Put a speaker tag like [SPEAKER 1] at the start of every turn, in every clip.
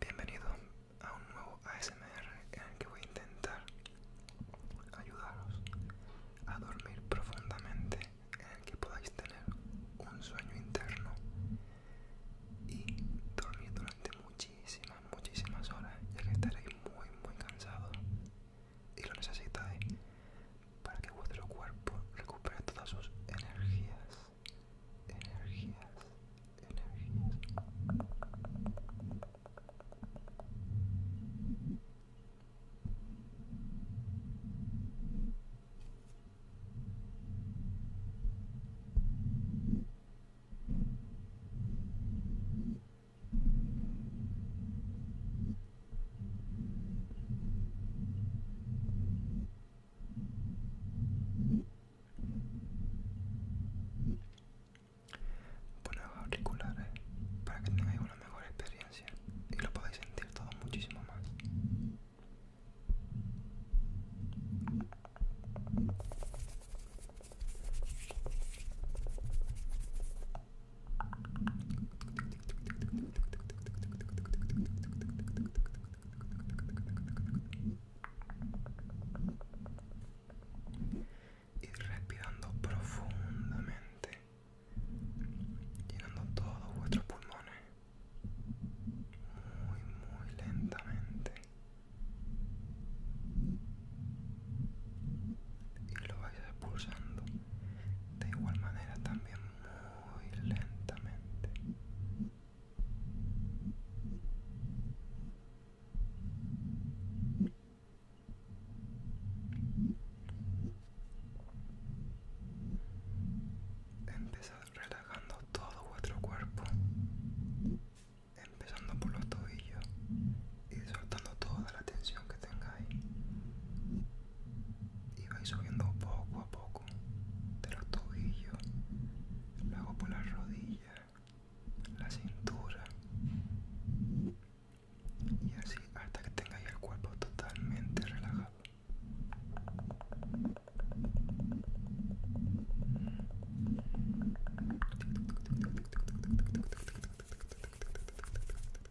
[SPEAKER 1] Bienvenidos a un nuevo ASMR en el que voy a intentar ayudaros a dormir profundamente, en el que podáis tener un sueño interno y dormir durante muchísimas, muchísimas horas, ya que estaréis muy, muy cansados y lo necesitáis para que vuestro cuerpo recupere todas sus energías, energías, energías. Bueno, auriculares para que tengáis una mejor experiencia y lo podáis sentir todo muchísimo más y respirando profundamente llenando todos vuestros pulmones muy muy lentamente y lo vais expulsando de igual manera también muy lentamente. Empezar relajando todo vuestro cuerpo, empezando por los tobillos y soltando toda la tensión que tengáis y vais subiendo poco a poco de los tobillos, luego por las rodillas, la cintura y así hasta que tengáis el cuerpo totalmente relajado.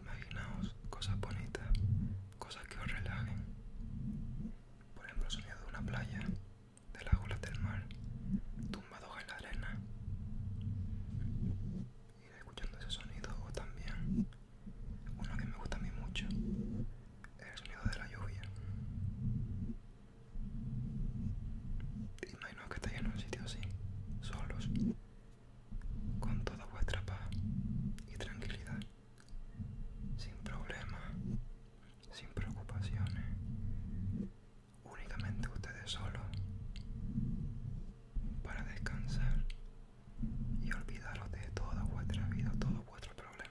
[SPEAKER 1] Imaginaos cosas bonitas, cosas que os relajen. Por ejemplo, el sonido de una playa, de las olas del mar, tumbados en la arena. Ir escuchando ese sonido o también uno que me gusta a mí mucho es el sonido de la lluvia. no que estáis en un sitio así, solos, con toda vuestra paz y tranquilidad, sin problemas, sin preocupaciones, únicamente ustedes solos para descansar y olvidaros de toda vuestra vida, todos vuestros problemas.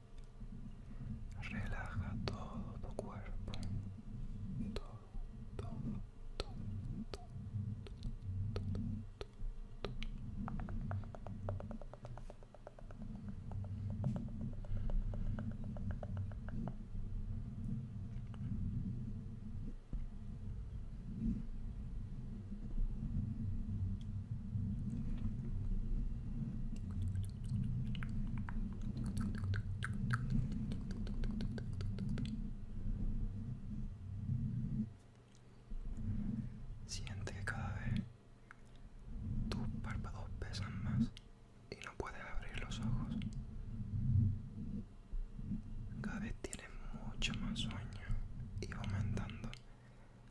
[SPEAKER 1] Relaja todo tu cuerpo. Todo, todo, todo, todo, todo, todo, todo. Siente que cada vez tus párpados pesan más y no puedes abrir los ojos. Cada vez tienes mucho más sueño y va aumentando.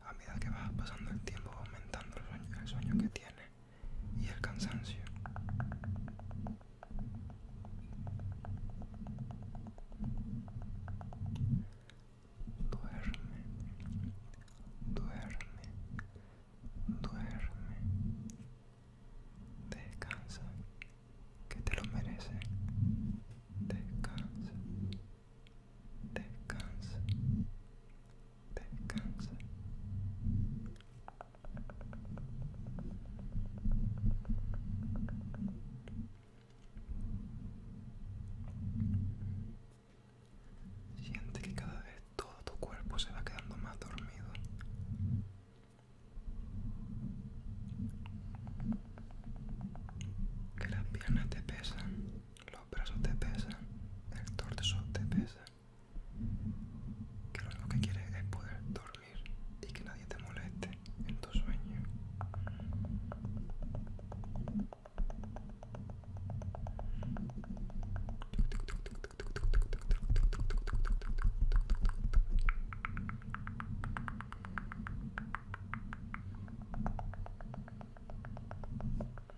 [SPEAKER 1] A medida que vas pasando el tiempo aumentando el sueño, el sueño que tienes y el cansancio. Duerme, duerme, duerme. Descansa, que te lo merece. Descansa, descansa, Descansa. Siente que cada vez todo tu cuerpo se va quedando más dormido. Que las piernas te pesan, los brazos te pesan, el torso te pesa que lo único que quieres es poder dormir y que nadie te moleste en tu sueño.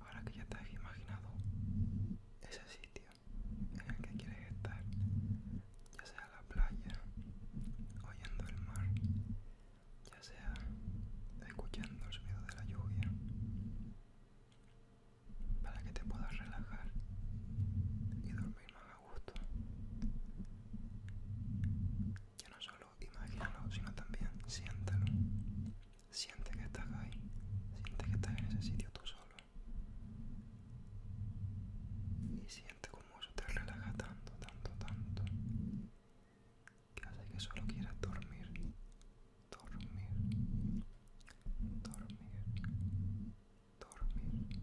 [SPEAKER 1] Ahora que ya te has imaginado ese sitio en el que quieres estar, ya sea la playa, oyendo el mar, ya sea escuchando el sonido de la lluvia, para que te puedas relajar y dormir más a gusto. Que no solo imagínalo, sino también siéntalo. Siente que estás ahí, siente que estás en ese sitio tú solo. Y siente como eso te relaja tanto, tanto, tanto, que hace que solo quieras dormir dormir, dormir, dormir, dormir.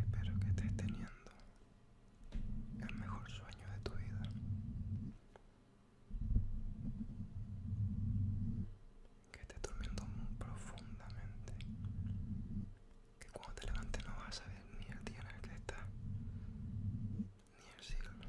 [SPEAKER 1] Espero que estés teniendo el mejor sueño de tu vida. Que estés durmiendo muy profundamente. Que cuando te levantes no vas a ver ni el día en el que estás, ni el cielo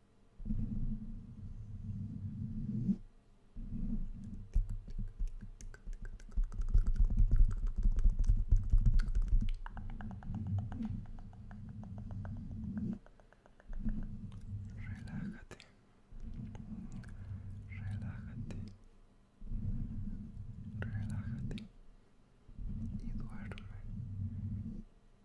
[SPEAKER 1] Relájate, relájate, relájate y duerme,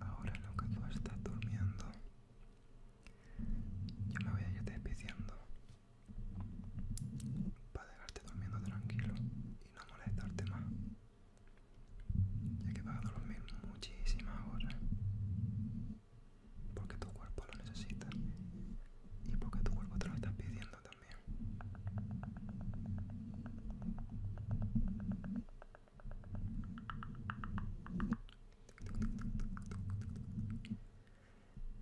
[SPEAKER 1] Ahora lo que tú estás durmiendo, yo me voy a ir despidiendo para dejarte durmiendo tranquilo y no molestarte más ya que vas a dormir muchísimas horas porque tu cuerpo lo necesita y porque tu cuerpo te lo está pidiendo también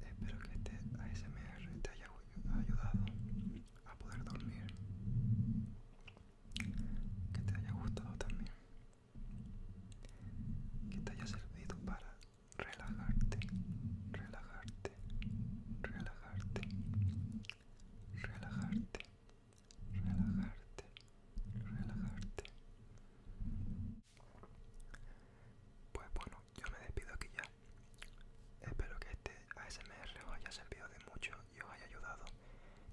[SPEAKER 1] Espero que este ASMR te haya ayudado a poder dormir. Que te haya gustado también. Que te haya servido para relajarte, relajarte, relajarte, relajarte, relajarte, relajarte. Pues bueno, yo me despido aquí ya. Espero que este ASMR os haya servido de mucho y os haya ayudado,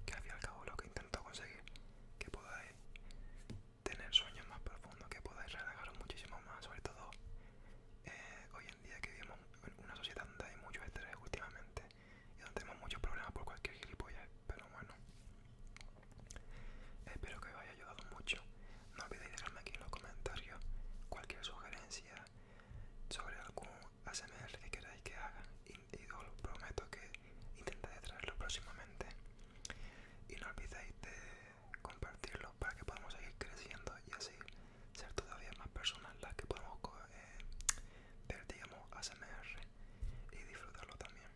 [SPEAKER 1] que al fin y al cabo lo que intento conseguir, que podáis tener sueños más profundos, que podáis relajaros muchísimo más, sobre todo eh, hoy en día que vivimos en una sociedad donde hay muchos estrés últimamente y donde tenemos muchos problemas por cualquier gilipollas, pero bueno. Espero que os haya ayudado mucho. No olvidéis dejarme aquí en los comentarios cualquier sugerencia, sobre algún ASMR que queráis que haga y, os prometo que intentaré traerlo próximamente y no olvidéis de compartirlo para que podamos seguir creciendo y así ser todavía más personas las que podemos eh, ver digamos ASMR y disfrutarlo también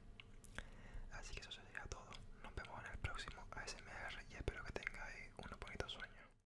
[SPEAKER 1] así que eso sería todo nos vemos en el próximo ASMR y espero que tengáis unos bonitos sueños